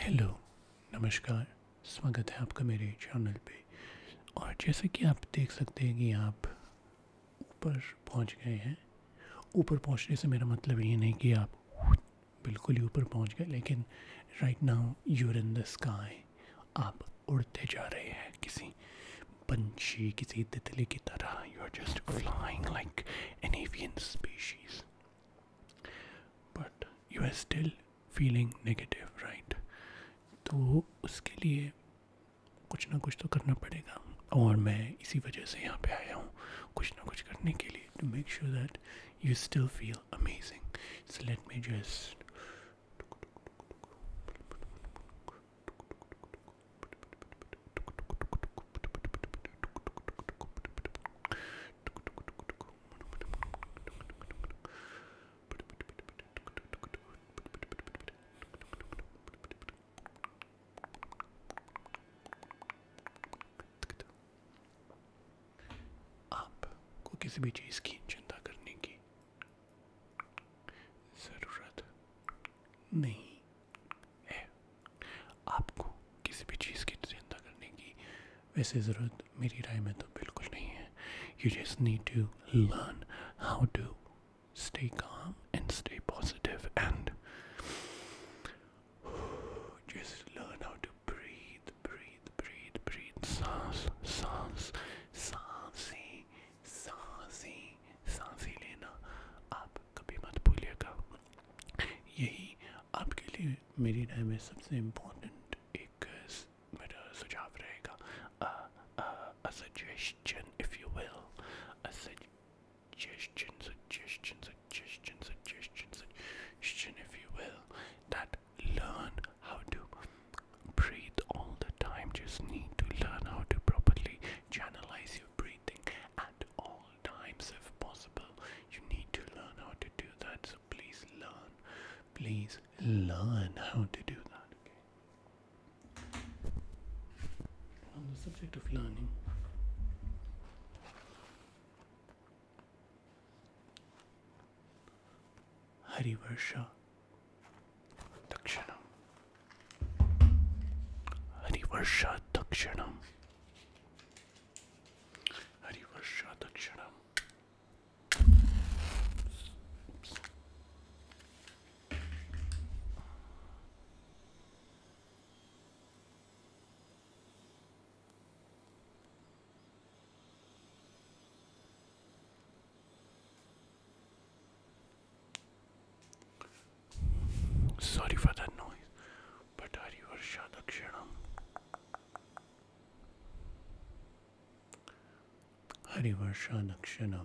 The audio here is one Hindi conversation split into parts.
हेलो नमस्कार स्वागत है आपका मेरे चैनल पे और जैसे कि आप देख सकते हैं कि आप ऊपर पहुंच गए हैं ऊपर पहुंचने से मेरा मतलब ये नहीं कि आप बिल्कुल ही ऊपर पहुंच गए लेकिन right now you're in the sky आप उड़ते जा रहे हैं किसी पंछी किसी तितली की तरह you are just flying like an avian species but you are still feeling negative right तो उसके लिए कुछ ना कुछ तो करना पड़ेगा और मैं इसी वजह से यहाँ पे आया हूँ कुछ ना कुछ करने के लिए to make sure that you still feel amazing so let me just आपको किसी भी चीज़ की चिंता करने की ज़रूरत नहीं है आपको किसी भी चीज़ की चिंता करने की वैसे ज़रूरत मेरी राय में तो बिल्कुल नहीं है you just need to learn how to stay calm and stay positive and just learn how to breathe, breathe, breathe, breathe. Saans, saans, saansi, saansi, saansi lena. आप कभी मत भूलिएगा. यही आपके लिए मेरी राय में सबसे important एक मेरा सुझाव रहेगा. A, a, a suggestion, if you will. A suggestion suggestion, suggestion, suggestion, suggestion, suggestion, if you will, that learn how to breathe all the time. Just need to learn how to properly channelize your breathing at all times if possible. You need to learn how to do that. So please learn. Please learn how to do that. Okay. On the subject of learning, Harivarsha Dakshinam. Harivarsha Dakshinam. Harivarsha Dakshinam. Sorry for that noise, but are you Hari Varsha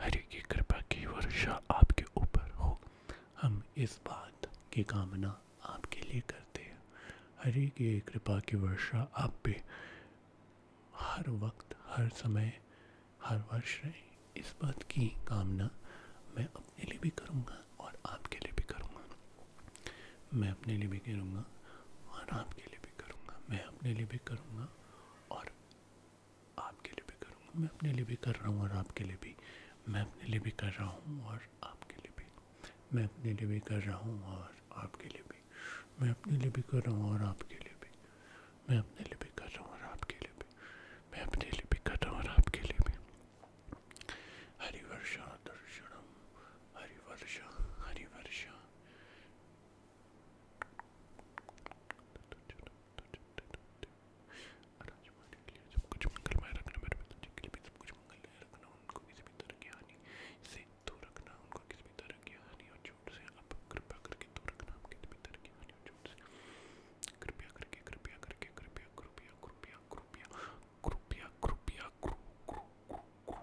Hari की कृपा की वर्षा आपके ऊपर हो हम इस बात की कामना आपके लिए करते हैं हरे की कृपा की वर्षा आप पे हर वक्त हर समय हर वर्ष रहे इस बात की कामना मैं अपने लिए भी करूँगा और आपके लिए भी करूँगा मैं अपने लिए भी करूँगा और आपके लिए भी करूँगा मैं अपने लिए भी करूँगा और आपके लिए भी करूँगा मैं अपने लिए भी कर रहा हूँ और आपके लिए भी मैं अपने लिए भी कर रहा हूँ और आपके लिए भी मैं अपने लिए भी कर रहा हूँ और आपके लिए भी मैं अपने लिए भी कर रहा हूँ और आपके लिए भी मैं अपने लिए भी कर रहा हूँ और आपके लिए भी मैं अपने लिए भी कर रहा हूँ और आपके लिए भी हरिवर्षा दर्शनम हरी वर्षा हरी वर्षा अनाज मारने के लिए सब कुछ मंगलमय रखना मेरे पिताजी के लिए भी सब कुछ मंगलमय तो रखना उनको किसी भी तरह की हानि से दूर रखना उनको किसी भी तरह की हानि और चोट से आप कृपया करके दूर रखना आप किसी भी तरह की हानि और चोट से कृपया करके कृपया करके कृपया कृपया कृपया कृपया कृपया कृपया कृपया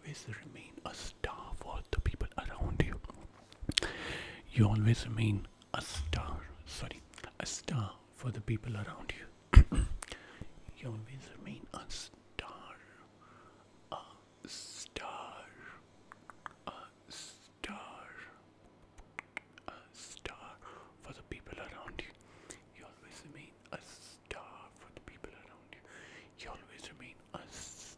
always remain a star for the people around you. You always remain a star, sorry, a star for the people around you. you always remain a star, a star, a star, a star for the people around you. You always remain a star for the people around you. You always remain a star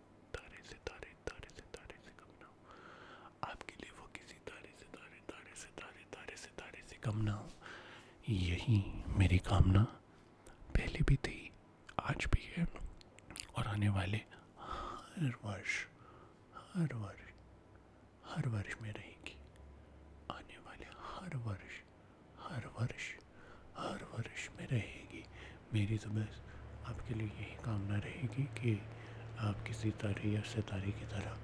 यही मेरी कामना पहले भी थी आज भी है और आने वाले हर वर्ष हर वर्ष हर वर्ष में रहेगी आने वाले हर वर्ष हर वर्ष हर वर्ष में रहेगी मेरी तो बस आपके लिए यही कामना रहेगी कि आप किसी तारे या सितारे की तरह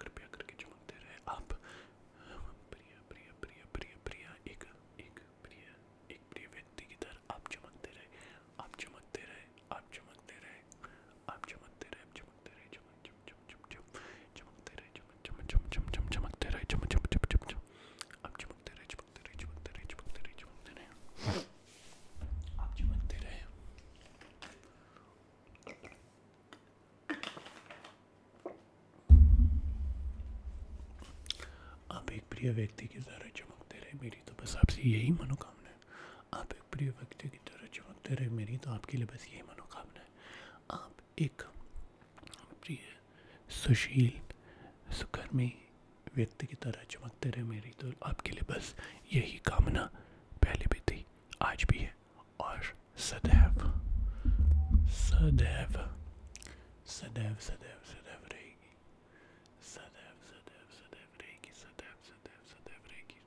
कृपया करके चमकते रहे आप चमकते रहे आप चमकते रहे आप चमकते रहे चमक आप एक प्रिय व्यक्ति की तरह चमकते रहे मेरी तो बस आपसे यही मनोकामना है आप एक प्रिय व्यक्ति की तरह चमकते रहे मेरी तो आपके लिए बस यही मनोकामना है आप एक प्रिय सुशील सुकर्मी व्यक्ति की तरह चमकते रहे मेरी तो आपके लिए बस यही कामना पहले भी थी आज भी है और सदैव सदैव सदैव सदैव सदैव रहेगी सदैव सदैव सदैव रहेगी सदैव सदैव सदैव रहेगी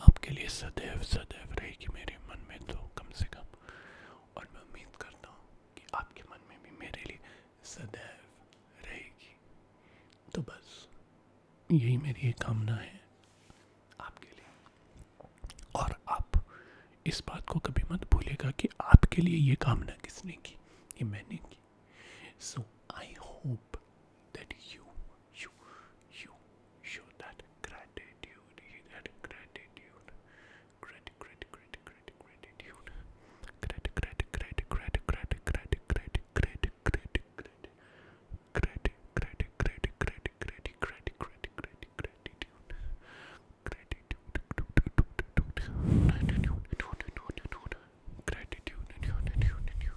आपके लिए सदैव सदैव रहेगी मेरे मन में तो कम से कम और मैं उम्मीद करता हूँ कि आपके मन में भी मेरे लिए सदैव रहेगी तो बस यही मेरी एक कामना है आपके लिए और आप इस बात को कभी मत भूलेगा कि आपके लिए ये कामना किसने की ये मैंने की so I hope that you you, you show that gratitude, that gratitude, great, great, great, great, gratitude, great, great, great, great, great, great, great, great, great, great. Great, great, great, great, great, great, great, gratitude, gratitude,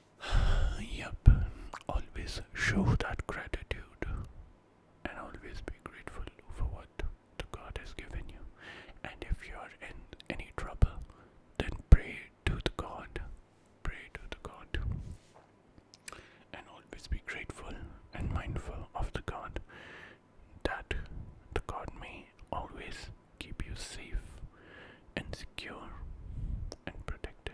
Yep, always show that gratitude and always be grateful for what the God has given you. And if you are in any trouble, then pray to the God. Pray to the God. And always be grateful and mindful of the God that the God may always keep you safe and secure and protected.